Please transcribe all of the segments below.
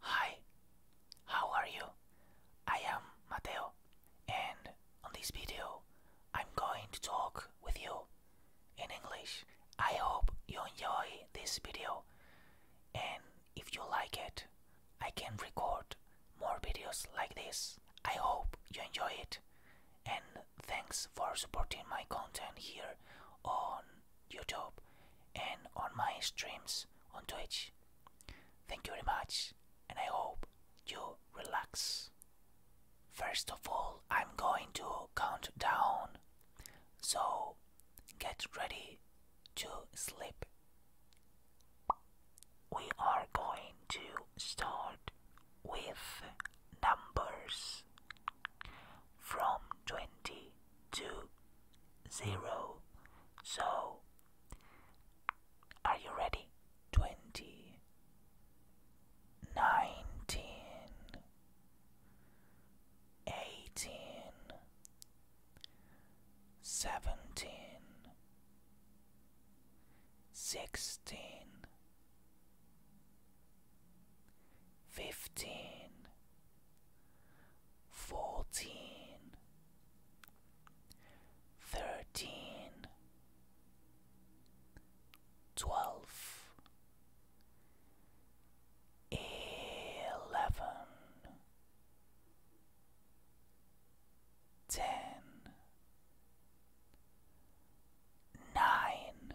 Hi, how are you? I am Mateo, and on this video, I'm going to talk with you in English. I hope you enjoy this video, and if you like it, I can record more videos like this. I hope you enjoy it, and thanks for supporting my content here on YouTube and on my streams on Twitch. Thank you very much, and I hope you relax. First of all, I'm going to count down, so get ready to sleep. We are going to start with numbers from 20 two zero. So are you ready? Twenty nineteen eighteen seventeen sixteen fifteen fourteen, thirteen, twelve, eleven, ten, nine,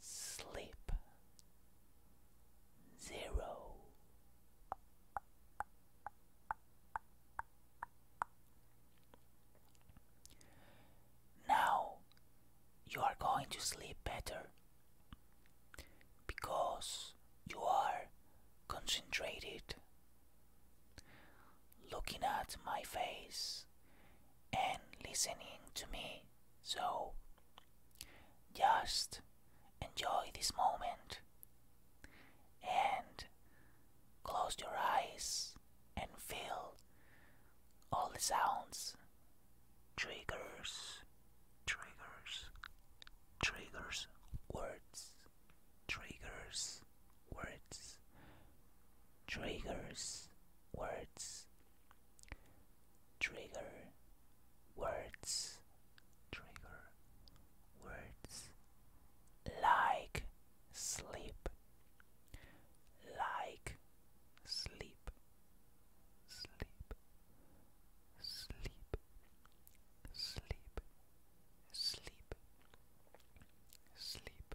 Sleep Zero Now you are going to sleep better because you are concentrated looking at my face and listening to me. So just enjoy this moment and close your eyes and feel all the sounds, triggers, triggers, triggers, words, triggers, words, triggers words trigger words trigger words like sleep like sleep sleep sleep sleep sleep sleep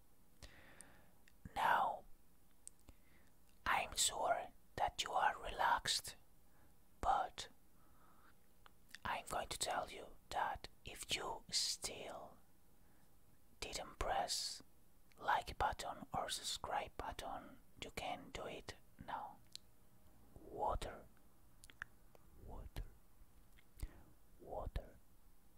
Now, I'm sure that you are relaxed, but I'm going to tell you that if you still didn't press like button or subscribe button, you can do it now. Water, water, water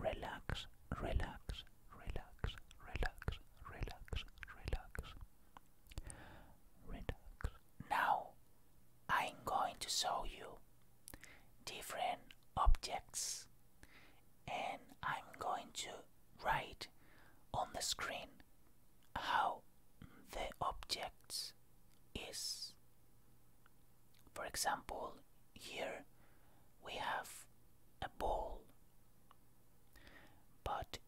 relax, relax, relax, relax, relax, relax. Relax. Now I'm going to show you different objects and I'm going to write on the screen how the object is. For example, here we have a ball. But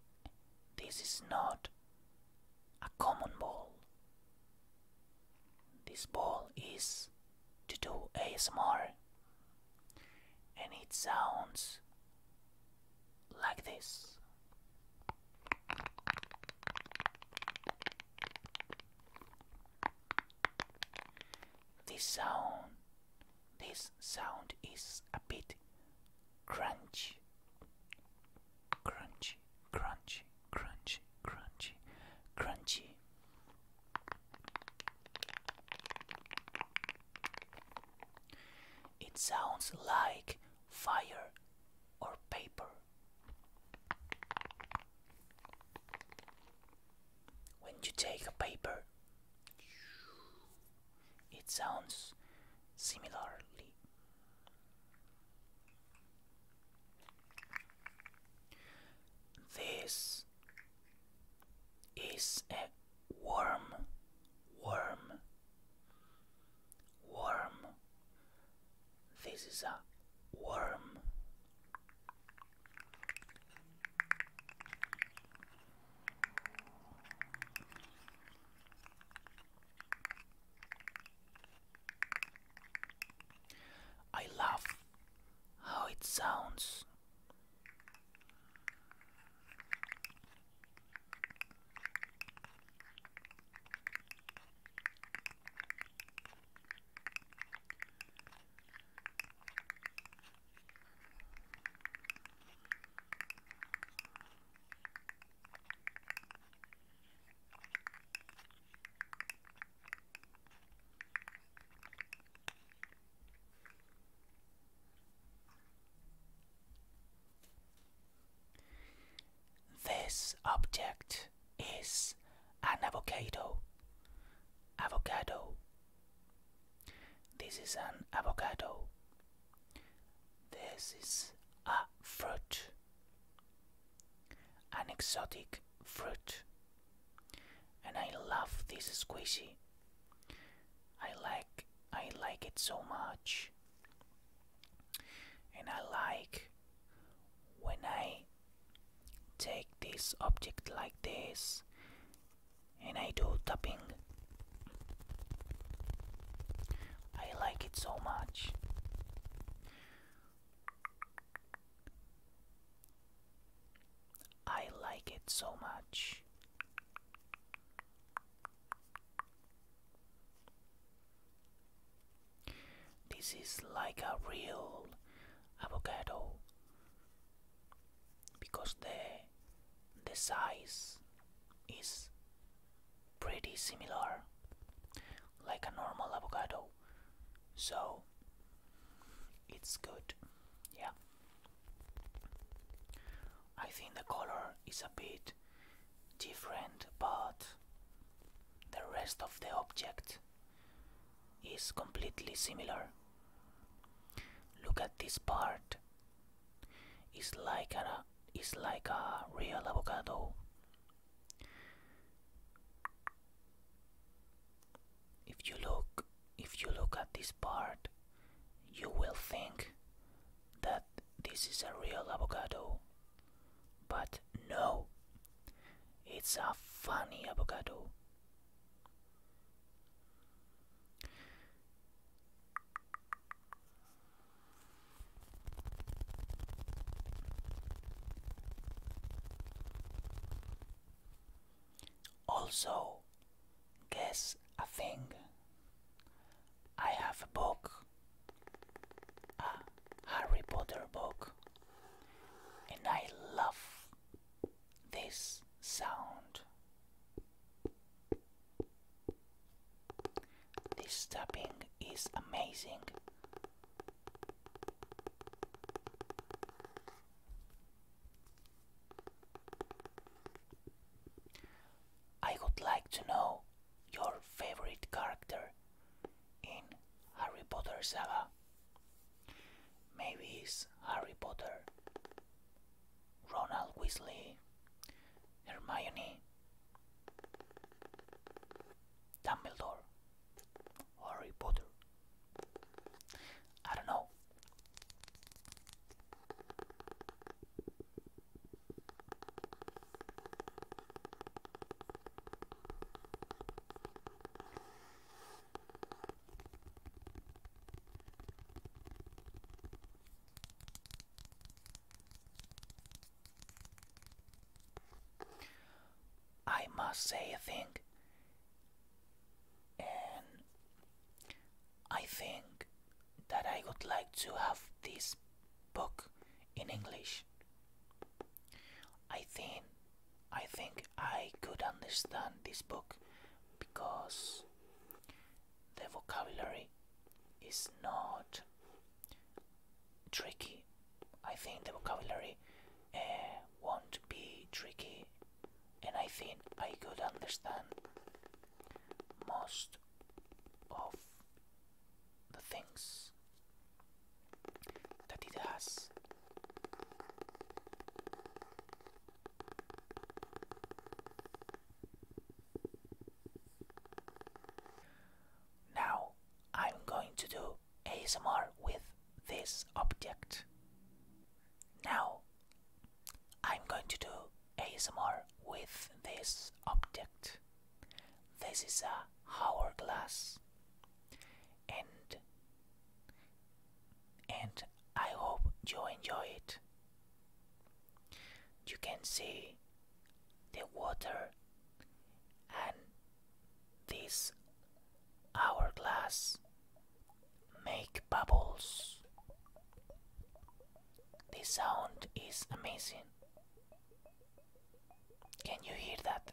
this is not a common ball. This ball is to do ASMR and it sounds like this. This sound, this sound is a bit crunchy, crunchy, crunchy, crunchy, crunchy, crunchy. It sounds like fire or paper. When you take a paper, it sounds similarly. This is a worm, worm, worm. This is a worm. I love how it sounds. This object is an avocado. Avocado. This is an avocado. This is a fruit. An exotic fruit. And I love this squishy. I like I like it so much. And I like when I take this object like this and I do tapping I like it so much I like it so much this is like a real avocado because the the size is pretty similar like a normal avocado so it's good yeah I think the color is a bit different but the rest of the object is completely similar. Look at this part. It's like a it's like a real avocado. If you look if you look at this part, you will think that this is a real avocado. But no, it's a funny avocado. Also, guess a thing. I have a book. Ah, Harry Potter book, and I love this sound. This tapping is amazing. I would like to know your favorite character in Harry Potter saga. Maybe it's Harry Potter, Ronald Weasley, Hermione, Dumbledore, Harry Potter. I don't know. I must say, a thing, and I think that I would like to have this book in English. I think I think I could understand this book because the vocabulary is not tricky. I think the vocabulary uh, won't be tricky, and I think I could understand most of the things that it has. Now I'm going to do ASMR with this object. Now I'm going to do ASMR with this object. This is a hourglass and and I hope you enjoy it. You can see the water and this hourglass make bubbles. The sound is amazing. Can you hear that?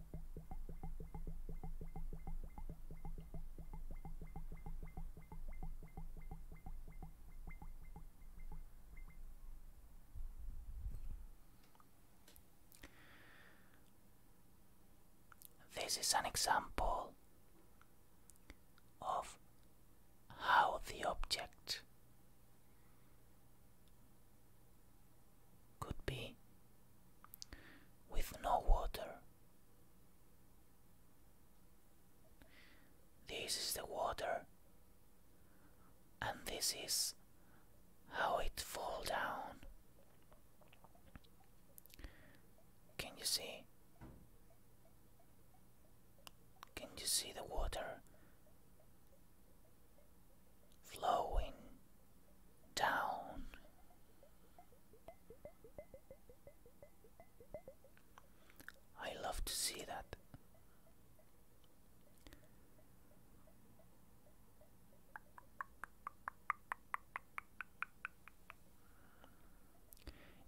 This is an example of how the object could be with no water this is the water, and this is how it fall down. Can you see? Can you see the water flowing down. I love to see that.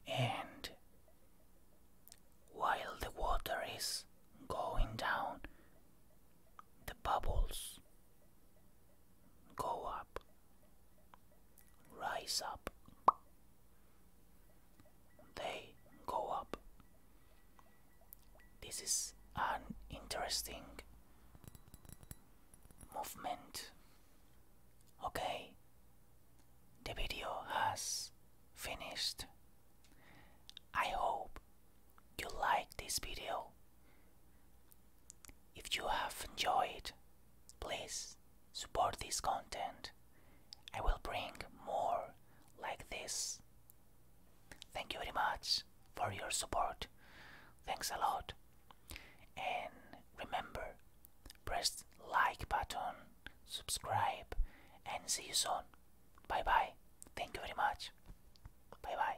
And while the water is going down, the bubbles go up, rise up, they go up. This is an interesting movement. Okay, the video has finished. I hope you like this video. If you have enjoyed, please support this content. I will bring more like this. Thank you very much for your support. Thanks a lot. And remember, press like button, subscribe and see you soon. Bye bye. Thank you very much. Bye bye.